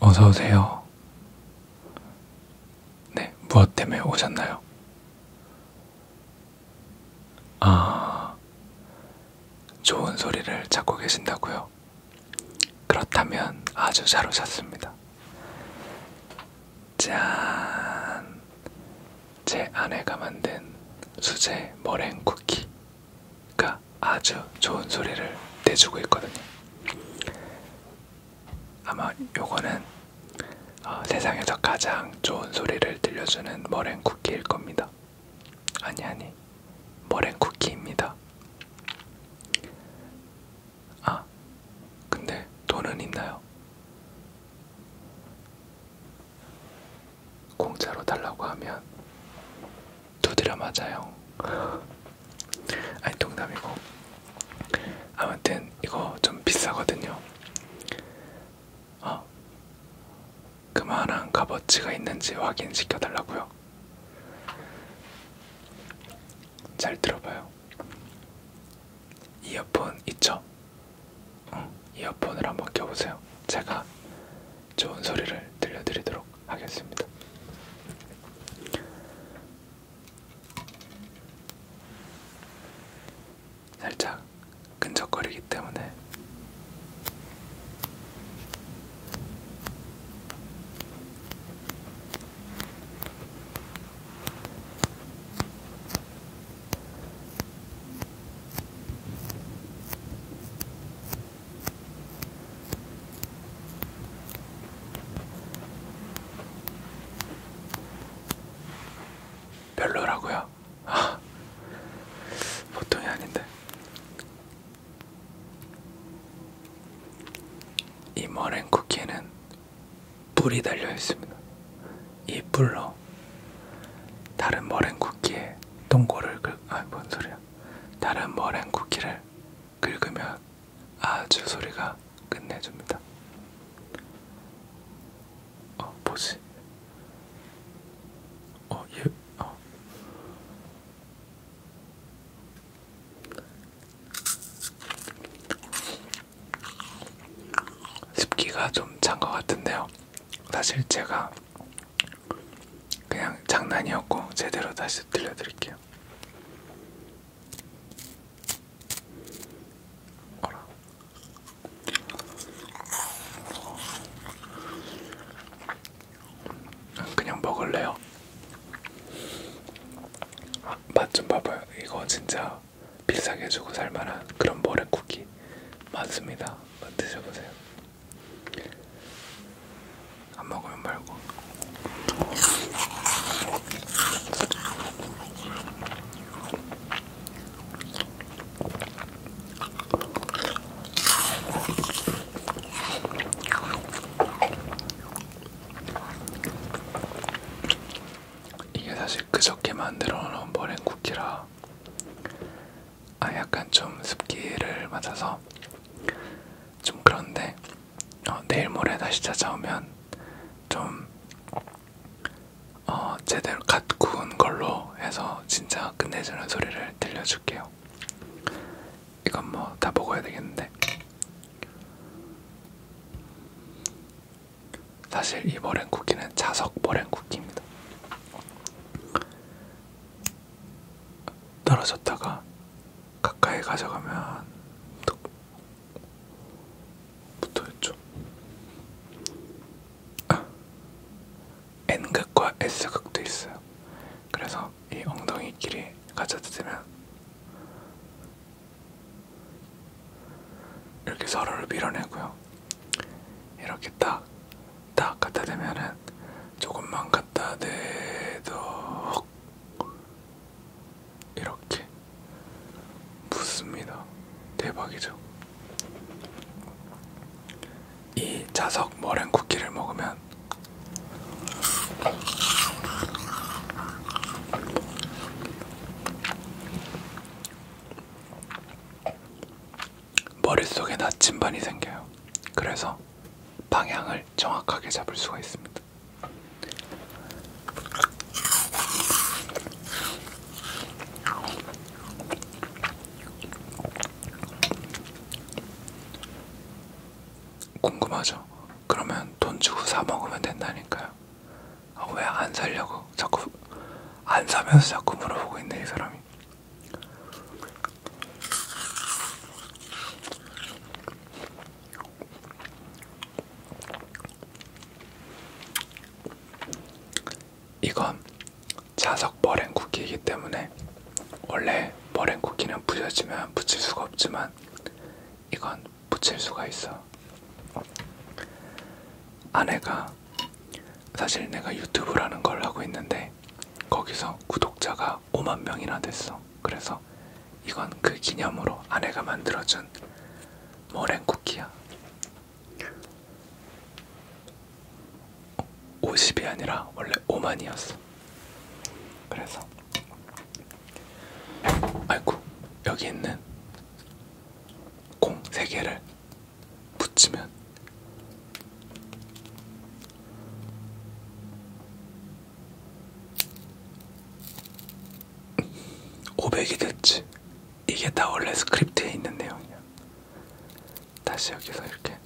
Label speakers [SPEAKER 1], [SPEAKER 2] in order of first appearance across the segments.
[SPEAKER 1] 어서 오세요. 네, 무엇 때문에 오셨나요? 아, 좋은 소리를 찾고 계신다고요? 그렇다면 아주 잘 오셨습니다. 짠! 제 아내가 만든 수제 머랭 쿠키. 가 아주 좋은 소리를 내주고 있거든요. 아마 요거는 어, 세상에서 가장 좋은 소리를 들려주는 머랭 쿠키일 겁니다. 아니 아니 머랭 쿠키입니다. 아 근데 돈은 있나요? 공짜로 달라고 하면 두드려 맞아요. 아니 농담이고 아무튼 이거 좀 비싸거든요. 어, 그만한 값어치가 있는지 확인시켜 달라고요. 잘 들어봐요. 이어폰 있죠? 응, 이어폰을 한번 껴보세요. 제가 좋은 소리를 들려드리도록 하겠습니다. 살짝 끈적거리기 때문에 별로라고요? 아, 보통이 아닌데. 이 머랭 쿠키에는 뿔이 달려 있습니다. 이 뿔로 다른 머랭 쿠키에 동고를 긁, 아, 뭔 소리야? 다른 머랭 쿠키를 긁으면 아주 소리가 끝내줍니다. 어, 뭐지? 어, 얘, 예, 어. 습기가 좀 찬 것 같은데요. 사실 제가 그냥 장난이었고 제대로 다시 들려드릴게요. 같아요. 어라. 그냥 먹을래요. 아, 맛좀 봐봐요. 이거 진짜 비싸게 주고 살만한 그런 모래쿠키 맞습니다. 드셔보세요. 안 먹으면 말고. 이게 사실 그저께 만들어 놓은 머랭 쿠키라 아 약간 좀 습기를 맞아서 좀 그런데 어, 내일 모레 다시 찾아오면 좀 어, 제대로 갓 구운 걸로 해서 진짜 끝내주는 소리를 들려줄게요. 이건 뭐 다 먹어야 되겠는데. 사실 이 머랭쿠키는 자석 머랭쿠키입니다. 떨어졌다가 가까이 가져가면 또 붙어있죠. 아, N극과 S극도 있어요. 그래서 이 엉덩이끼리 가져다으면 이렇게 서로를 밀어내고요. 이렇게 딱, 딱 갖다 대면은 조금만 갖다 대도 턱 이렇게 붙습니다. 대박이죠. 이 자석 머랭 쿠키를 먹으면 머릿속에 나침반이 생겨요. 그래서 방향을 정확하게 잡을 수가 있습니다. 궁금하죠? 그러면 돈 주고 사 먹으면 된다니까요. 아, 왜 안 살려고 자꾸 안 사면서 자꾸 물어보고 있네 이 사람이. 이건 자석 머랭 쿠키이기 때문에 원래 머랭 쿠키는 부셔지면 붙일 수가 없지만 이건 붙일 수가 있어. 아내가 사실 내가 유튜브라는 걸 하고 있는데 거기서 구독자가 인구가 5만 명이나 됐어. 그래서 이건 그 기념으로 아내가 만들어준 머랭 쿠키야. 50이 아니라 원래 5만이었어. 그래서 아이고 여기 있는 공 3개를 붙이면 500이 됐지. 이게 다 원래 스크립트에 있는 내용이야. 다시 여기서 이렇게.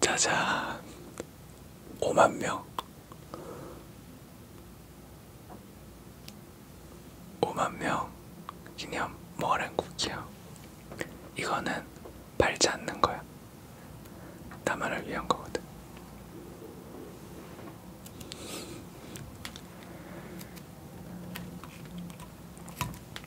[SPEAKER 1] 짜잔 5만명 5만명 기념 머랭 쿠키야 이거는 팔지 않는 거야 나만을 위한 거거든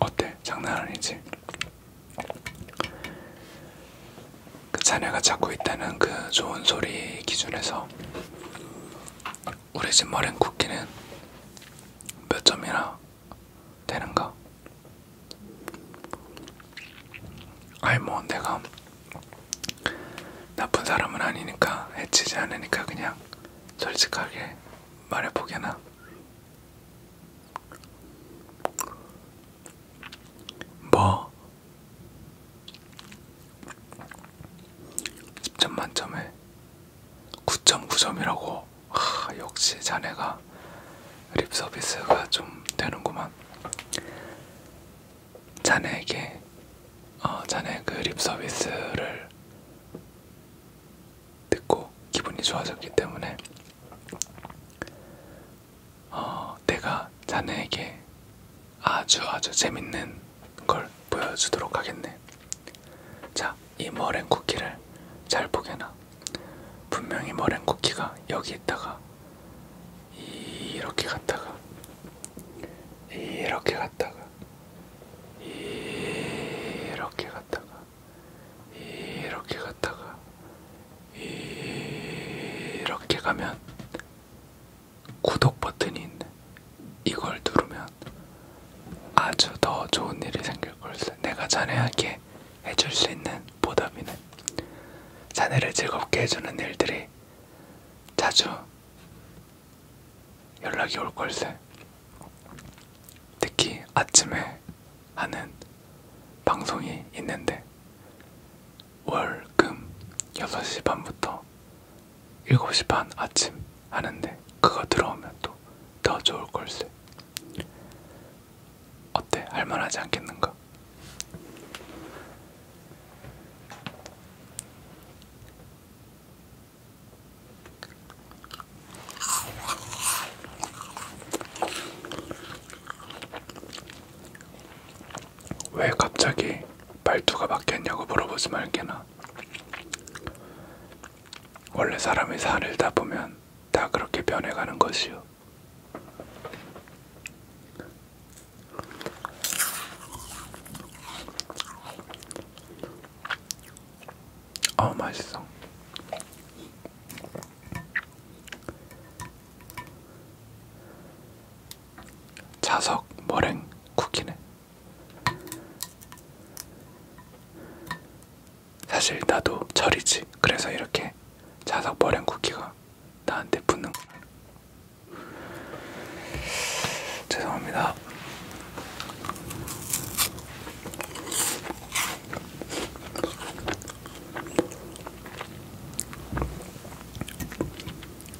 [SPEAKER 1] 어때? 장난 아니지? 그 자네가 찾고 있다는 그 좋은 소리 기준에서 우리 집 머랭 쿠키는 몇 점이나 되는가? 아이 뭐 내가 나쁜 사람은 아니니까 해치지 않으니까 그냥 솔직하게 말해보게나 뭐? 10점 만점에 9.9점이라고 하, 역시 자네가 립서비스가 좀 되는구만 자네에게 어, 자네 그 립서비스를 듣고 기분이 좋아졌기 때문에 어, 내가 자네에게 아주 아주 재밌는 걸 보여주도록 하겠네. 자, 이 머랭 쿠키를 잘 보게나. 분명히 머랭 쿠키가 여기 있다가 이렇게 갔다가 이렇게 갔다가 이렇게 갔다가 이렇게 갔다가 이렇게 가면 구독 버튼이 있네. 이걸 누르면 아주 더 좋은 일이 생길 걸세. 내가 자네에게 해줄 수 있는 보답이네. 자네를 즐겁게 해주는 일들이 자주 연락이 올 걸세. 특히 아침에 하는 방송이 있는데 월금 6시 반부터 7시 반 아침 하는데 그거 들어오면 또 더 좋을 걸세. 어때? 할만하지 않겠는가? 왜 갑자기 말투가 바뀌었냐고 물어보지 말게나. 원래 사람이 살다 보면 다 그렇게 변해가는 것이요. 어 맛있어. 자석 머랭 쿠키네. 사실 나도 절이지. 그래서 이렇게 자석 머랭 쿠키가 나한테 붙는구나. 죄송합니다.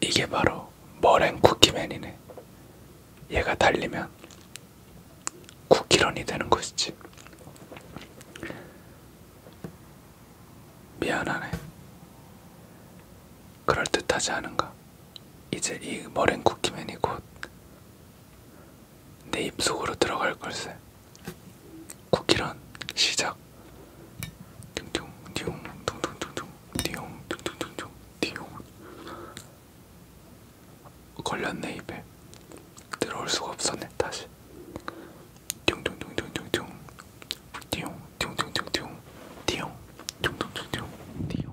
[SPEAKER 1] 이게 바로 머랭 쿠키맨이네. 얘가 달리면 쿠키런이 되는 것이지. 미안하네. 그럴듯하지 않은가? 이제 이 머랭 쿠키맨이 곧 내 입속으로 들어갈 걸세. 쿠키런 시작. 뚱뚱 띠용 뚱뚱뚱뚱 띠용 뚱뚱뚱뚱 띠용 걸렸네 입에 들어올 수가 없었네 다시 뚱뚱뚱뚱뚱뚱 띠용 뚱뚱뚱뚱 띠용 뚱뚱뚱뚱 띠용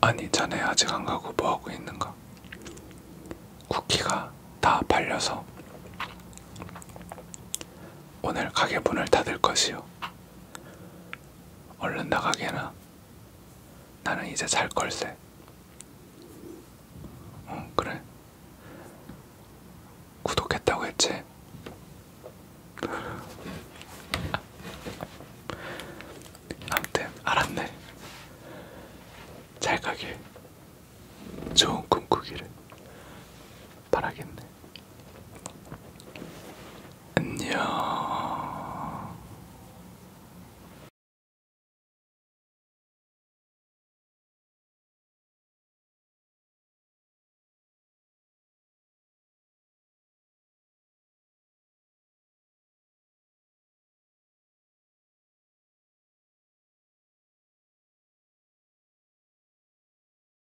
[SPEAKER 1] 아니 자네 아직 안 가고 뭐 하고 있는가? 쿠키가 다 팔려서 오늘 가게 문을 닫을 것이요. 얼른 나가게 해놔. 나는 이제 잘 걸세. 어, 그래. 구독했다고 했지? 아무튼 알았네. 잘 가길. 좋은 꿈꾸기를. 바라겠네. 안녕.